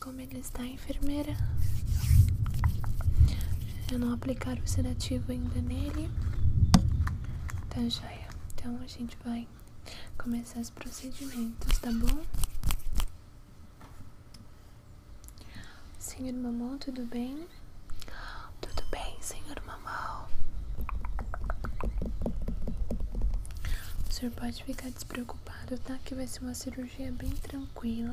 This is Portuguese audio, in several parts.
Como ele está, enfermeira? Eu não aplicar o sedativo ainda nele. Tá joia. Então a gente vai começar os procedimentos, tá bom? Senhor Mamon, tudo bem? Tudo bem, senhor mamão O senhor pode ficar despreocupado, tá? Que vai ser uma cirurgia bem tranquila.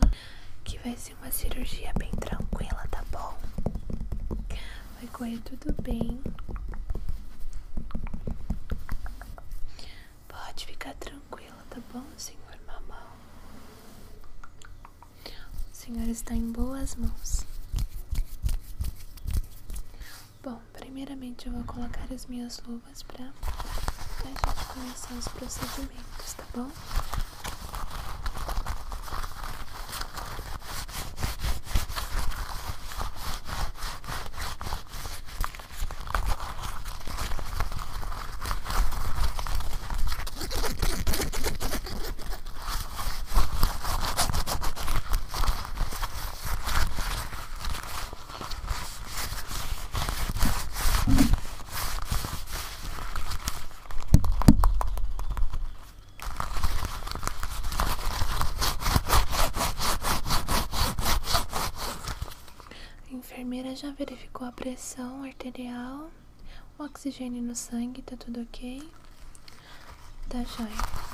Que vai ser uma cirurgia bem tranquila, tá bom? Vai correr tudo bem. Pode ficar tranquila, tá bom, senhor mamão o Senhor está em boas mãos. Bom, primeiramente eu vou colocar as minhas luvas para a gente começar os procedimentos, tá bom? enfermeira já verificou a pressão arterial o oxigênio no sangue, tá tudo ok? Tá joia.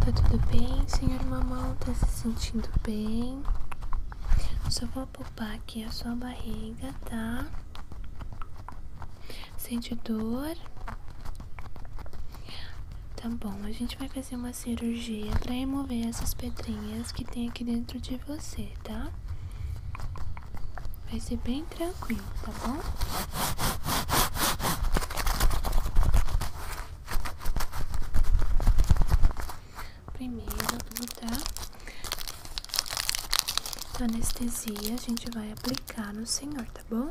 Tá tudo bem, senhor mamão? Tá se sentindo bem? Só vou poupar aqui a sua barriga, tá? Sente dor? Tá bom, a gente vai fazer uma cirurgia pra remover essas pedrinhas que tem aqui dentro de você, tá? Vai ser bem tranquilo, tá bom? Primeiro eu vou dar anestesia, a gente vai aplicar no senhor, tá bom?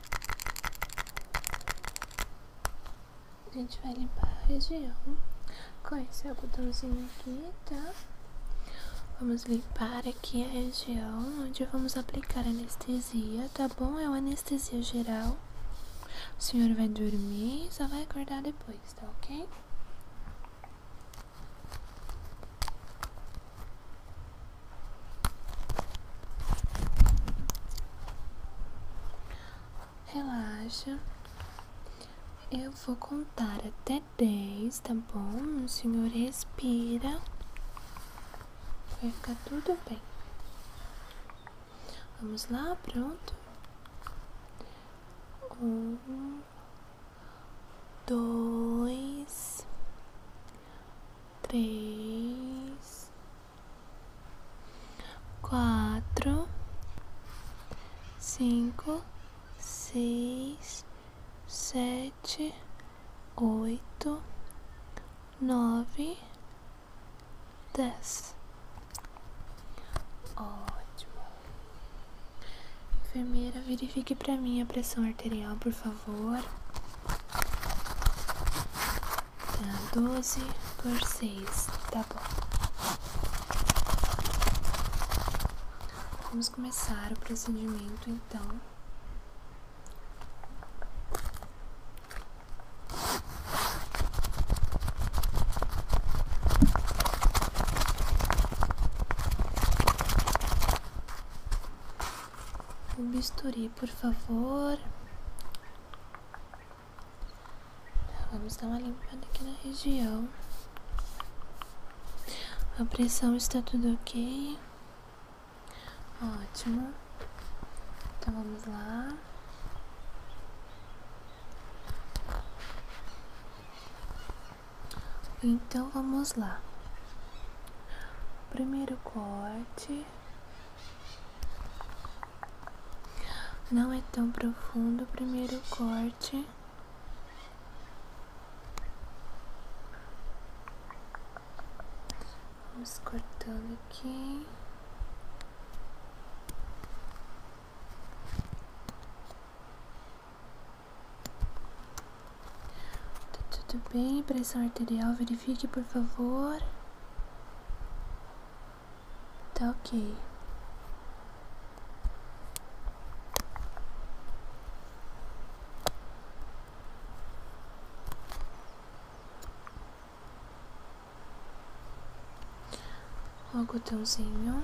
A gente vai limpar a região com esse algodãozinho aqui, tá? Vamos limpar aqui a região onde vamos aplicar anestesia, tá bom? É uma anestesia geral. O senhor vai dormir e só vai acordar depois, tá ok? Relaxa. Eu vou contar até dez, tá bom? O senhor respira. Vai ficar tudo bem. Vamos lá, pronto? Um, dois, três, quatro, cinco, seis, sete, oito, nove, dez. Ótimo. Enfermeira, verifique para mim a pressão material por favor. Tá, doze por seis tá bom. Vamos começar o procedimento então. Um bisturi, por favor. Vamos dar uma limpada aqui na região. A pressão está tudo ok. Ótimo. Então vamos lá. Então vamos lá primeiro corte. Não é tão profundo o primeiro corte. Vamos cortando aqui. Tudo bem, pressão arterial, verifique por favor. Tá ok. O algodãozinho.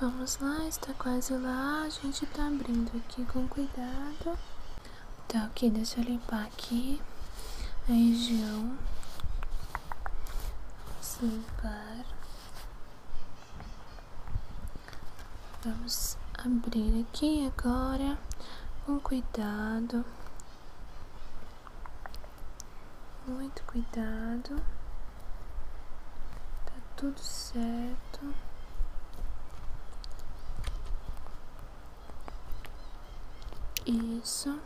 Vamos lá, está quase lá. A gente está abrindo aqui com cuidado. Tá, aqui, deixa eu limpar aqui a região. Vamos limpar. Vamos abrir aqui agora com cuidado. Muito cuidado. Tá tudo certo. Isso.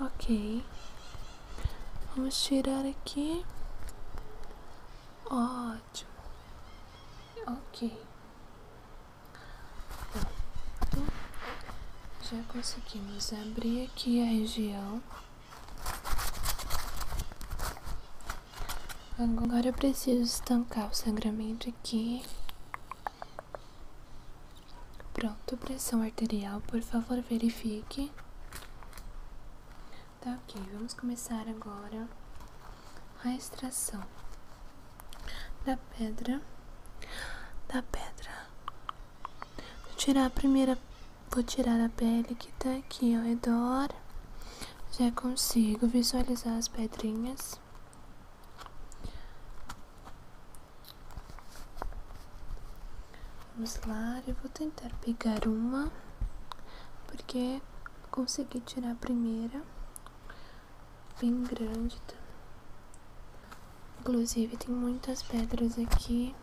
Ok. Vamos tirar aqui. Ótimo. Ok. Já conseguimos abrir aqui a região. Agora eu preciso estancar o sangramento aqui. Pronto, pressão arterial, por favor verifique. Tá ok, vamos começar agora a extração da pedra, da pedra, Vou tirar a primeira, vou tirar a pele que tá aqui ao redor. Já consigo visualizar as pedrinhas. Vamos lá, eu vou tentar pegar uma, porque consegui tirar a primeira, bem grande tá? Inclusive tem muitas pedras aqui.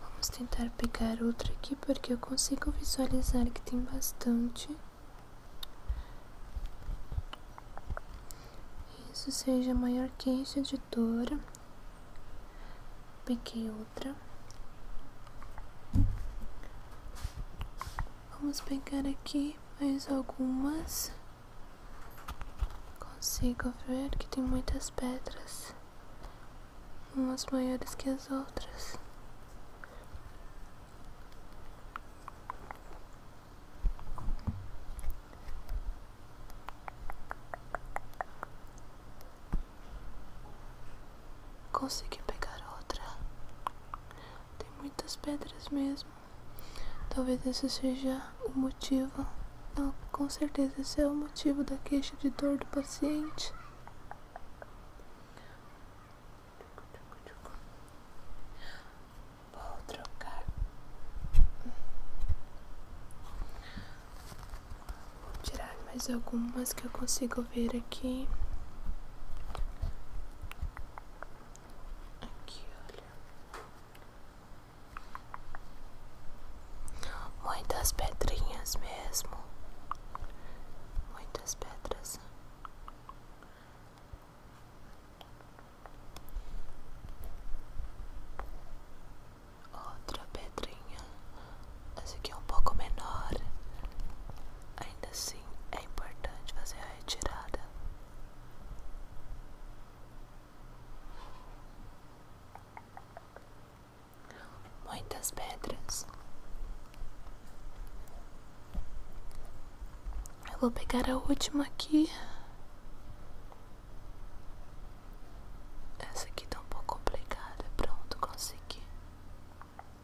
Vamos tentar pegar outra aqui porque eu consigo visualizar que tem bastante. Isso seja maior queixa de dor. Peguei outra. Vamos pegar aqui mais algumas. Consigo ver que tem muitas pedras, umas maiores que as outras. Consegui pegar outra. Tem muitas pedras mesmo. Talvez esse seja o motivo. Não, com certeza esse é o motivo da queixa de dor do paciente. Vou trocar. Vou tirar mais algumas que eu consigo ver aqui. Aqui, olha. Muitas pedrinhas mesmo. Muitas pedras. Outra pedrinha. Essa aqui é um pouco menor ainda assim é importante fazer a retirada. Muitas pedras. Eu vou pegar a última aqui. Essa aqui tá um pouco complicada. Pronto, consegui.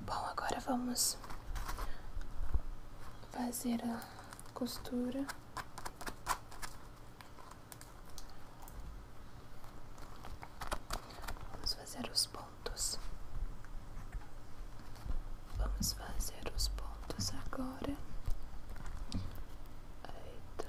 Bom, agora vamos fazer a costura. Vamos fazer os pontos. Vamos fazer os pontos agora. Eita.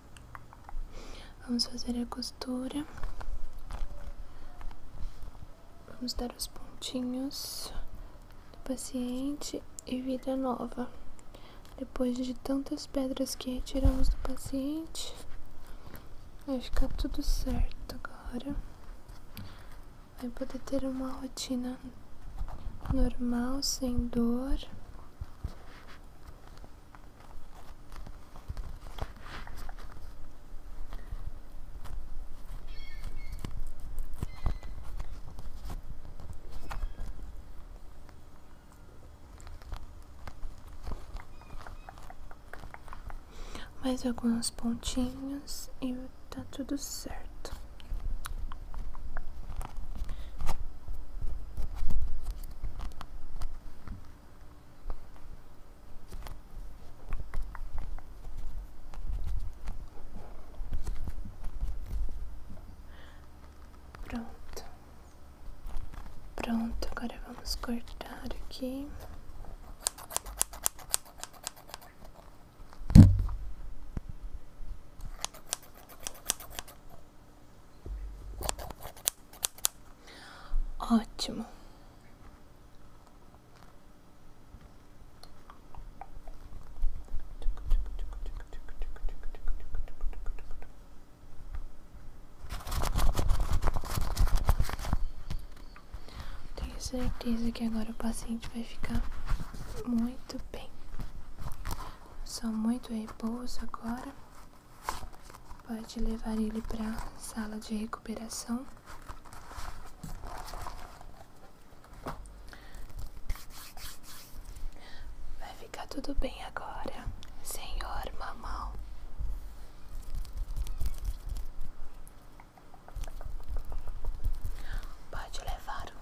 Vamos fazer a costura. Vamos dar os pontinhos do paciente e vida nova. Depois de tantas pedras que retiramos do paciente, vai ficar tudo certo agora. Vai poder ter uma rotina normal, sem dor mais alguns pontinhos e tá tudo certo. Pronto. Pronto, agora vamos cortar aqui. Ótimo. Tenho certeza que agora o paciente vai ficar muito bem. Só muito repouso agora. Pode levar ele para sala de recuperação. Vai ficar tudo bem agora, senhor mamão. Pode levar o